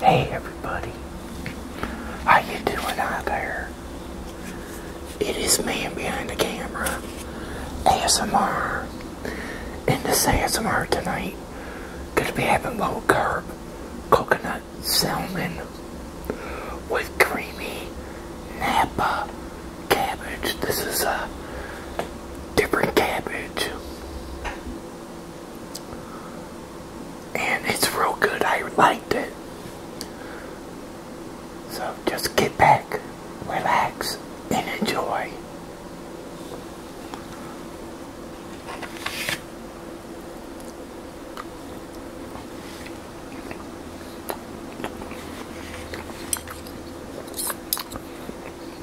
Hey everybody, how you doing out there? It is man behind the camera, ASMR, and this ASMR tonight, gonna be having low carb coconut salmon with creamy Napa cabbage. This is a different cabbage. And it's real good. I liked it. So just get back, relax, and enjoy.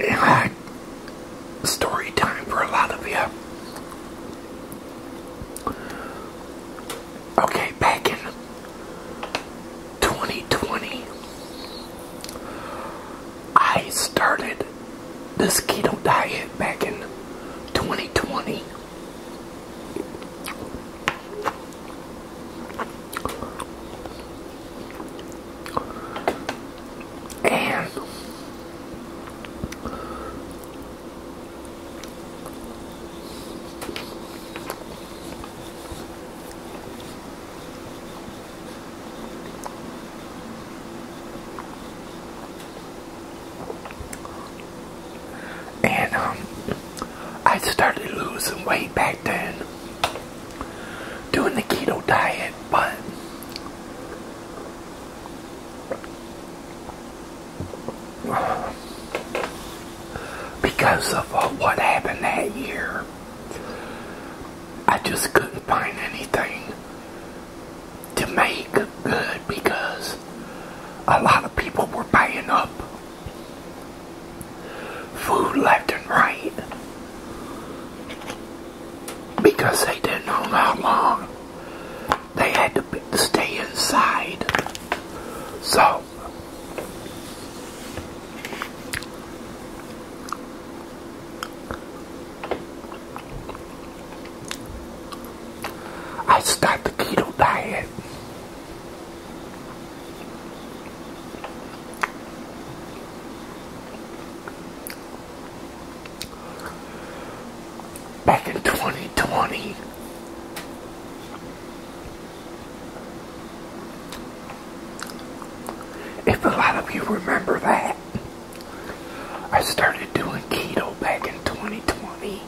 and like story time for a lot of you. Okay, back in 2020, I started this keto diet back in 2020. And and um I started losing weight back then doing the keto diet, but because of uh, what happened that year, I just couldn't find anything to make good because a lot of people were buying up Food left and right because they didn't know how long they had to stay inside. So, I start the keto diet Back in 2020, if a lot of you remember that, I started doing keto back in 2020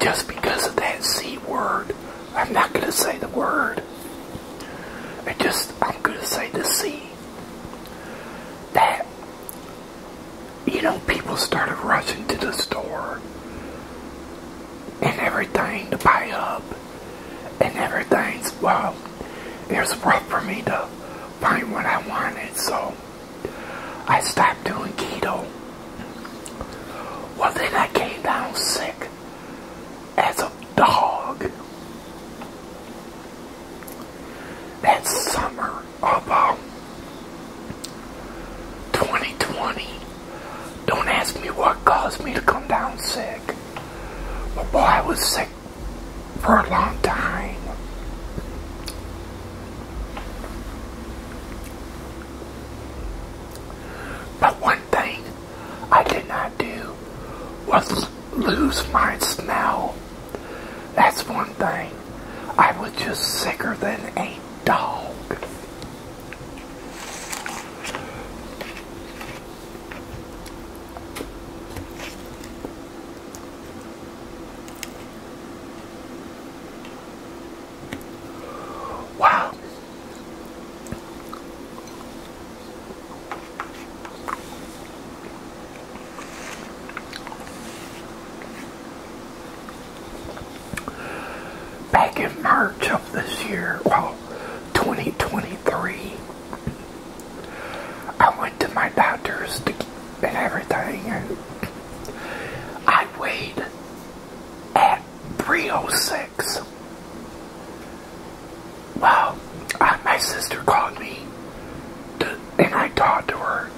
just because of that C word. I'm not going to say the word. I just, I'm going to say the C. That, you know, people started rushing to the store and everything to buy up and everything's, well, it was rough for me to find what I wanted, so I stopped doing keto. Well, then I came down sick as a dog that summer of uh, um, 2020. Don't ask me what caused me to come down sick, but boy, I was sick for a long time. But one thing I did not do was lose my smell. That's one thing. I was just sicker than a dog. Wow. Back in March of this year, well, 2023, I went to my doctor's to and everything, and I weighed at 306. Well, my sister called me and I talked to her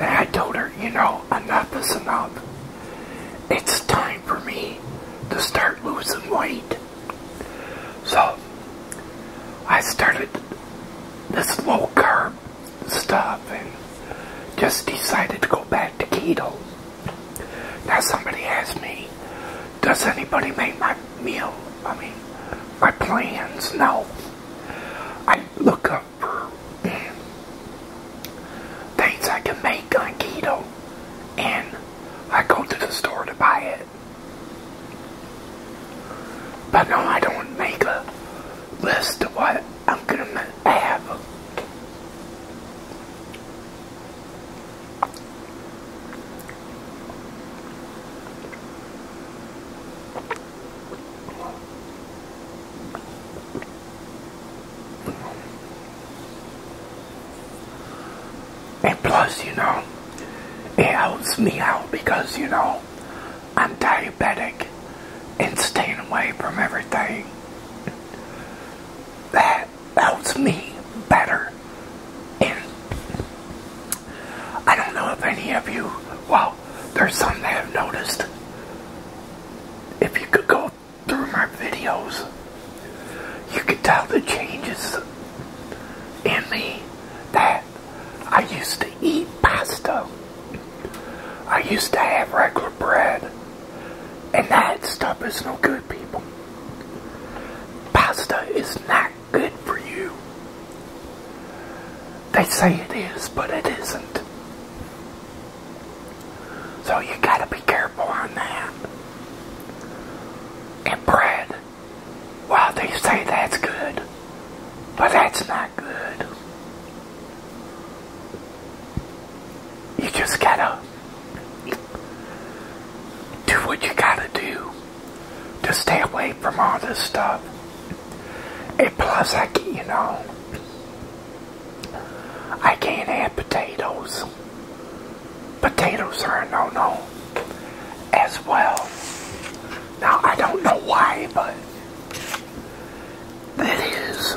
and I told her, you know, enough is enough. It's time for me to start losing weight. So, I started this low carb stuff and just decided to go back to keto. Now somebody asked me, does anybody make my meal, I mean, my plans? No. I look up things I can make on keto and I go to the store to buy it. But no, I don't make a list of what I'm gonna have it. plus, you know, it helps me out because, you know, I'm diabetic and staying away from everything that helps me better. And I don't know if any of you, well, there's some that have noticed. If you could go through my videos, you could tell the changes in me that I used to eat pasta I used to have regular bread, and that stuff is no good, people. Pasta is not good for you. They say it is, but it isn't. So you gotta be careful on that. And bread, while they say that's good, but that's not good. You just gotta do what you gotta do to stay away from all this stuff. And plus, I can, you know, I can't have potatoes. Potatoes are a no-no as well. Now, I don't know why, but that is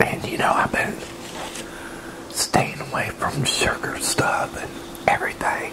And you know, I've been staying away from sugar stuff and everything.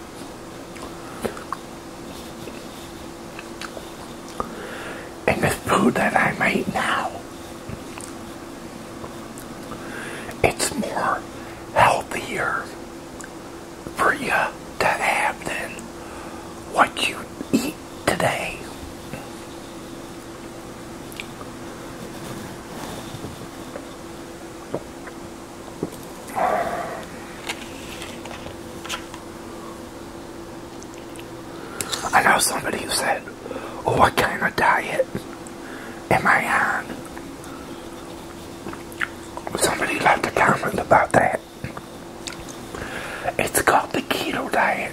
And the food that I make now, it's more healthier for you to have than what you eat today. I know somebody who said, Oh, what kind of diet am I on? Somebody left a comment about that. It's called the keto diet.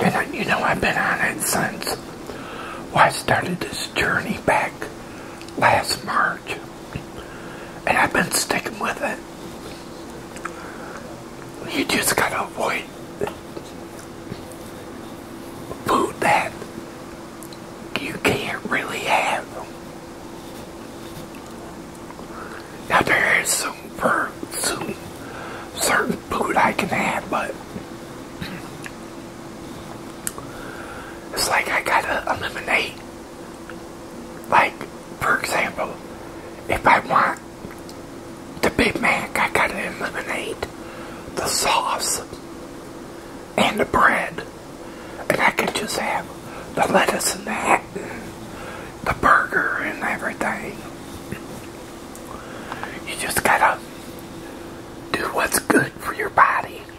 And you know, I've been on it since I started this journey back last March. And I've been sticking with it. You just gotta avoid food that you can't really have. Now there is some for some certain food I can have, but it's like I gotta eliminate like, for example, if I want the Big Mac, I gotta eliminate the sauce and the bread. And I can just have the lettuce and that, the burger and everything. You just gotta do what's good for your body.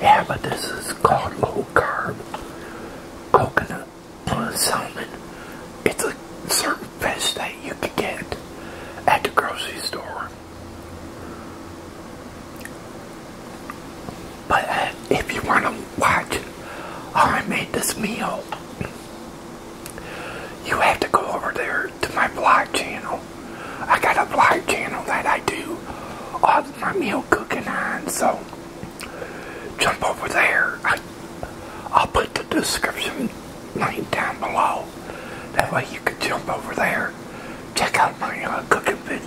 Yeah, but this is called low carb coconut plus uh, salmon. It's a certain fish that you could get at the grocery store. But uh, if you want to watch I made this meal, you have to go over there to my blog channel. I got a blog channel that I do all of my meal cooking on, so jump over there. I'll put the description link down below. That way you can jump over there, check out my uh, cooking vid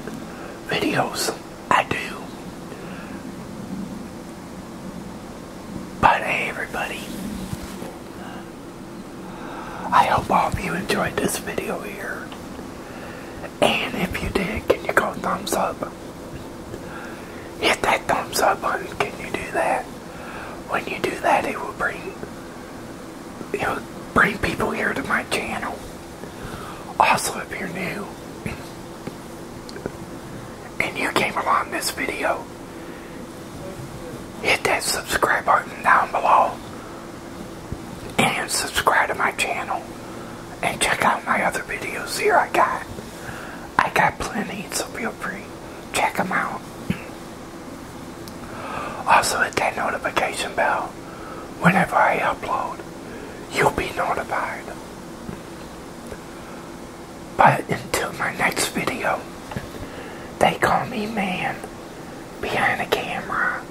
videos I do. Bye everybody, I hope all of you enjoyed this video here. And if you did, can you go thumbs up? Hit that thumbs up button, can you do that? When you do that, it will bring it will bring people here to my channel. Also, if you're new and you came along this video, hit that subscribe button down below and subscribe to my channel and check out my other videos here I got. I got plenty, so feel free. Check them out. Also hit that notification bell. Whenever I upload, you'll be notified. But until my next video, they call me man behind the camera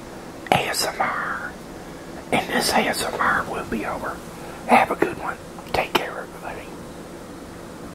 ASMR. And this ASMR will be over. Have a good one. Take care, everybody.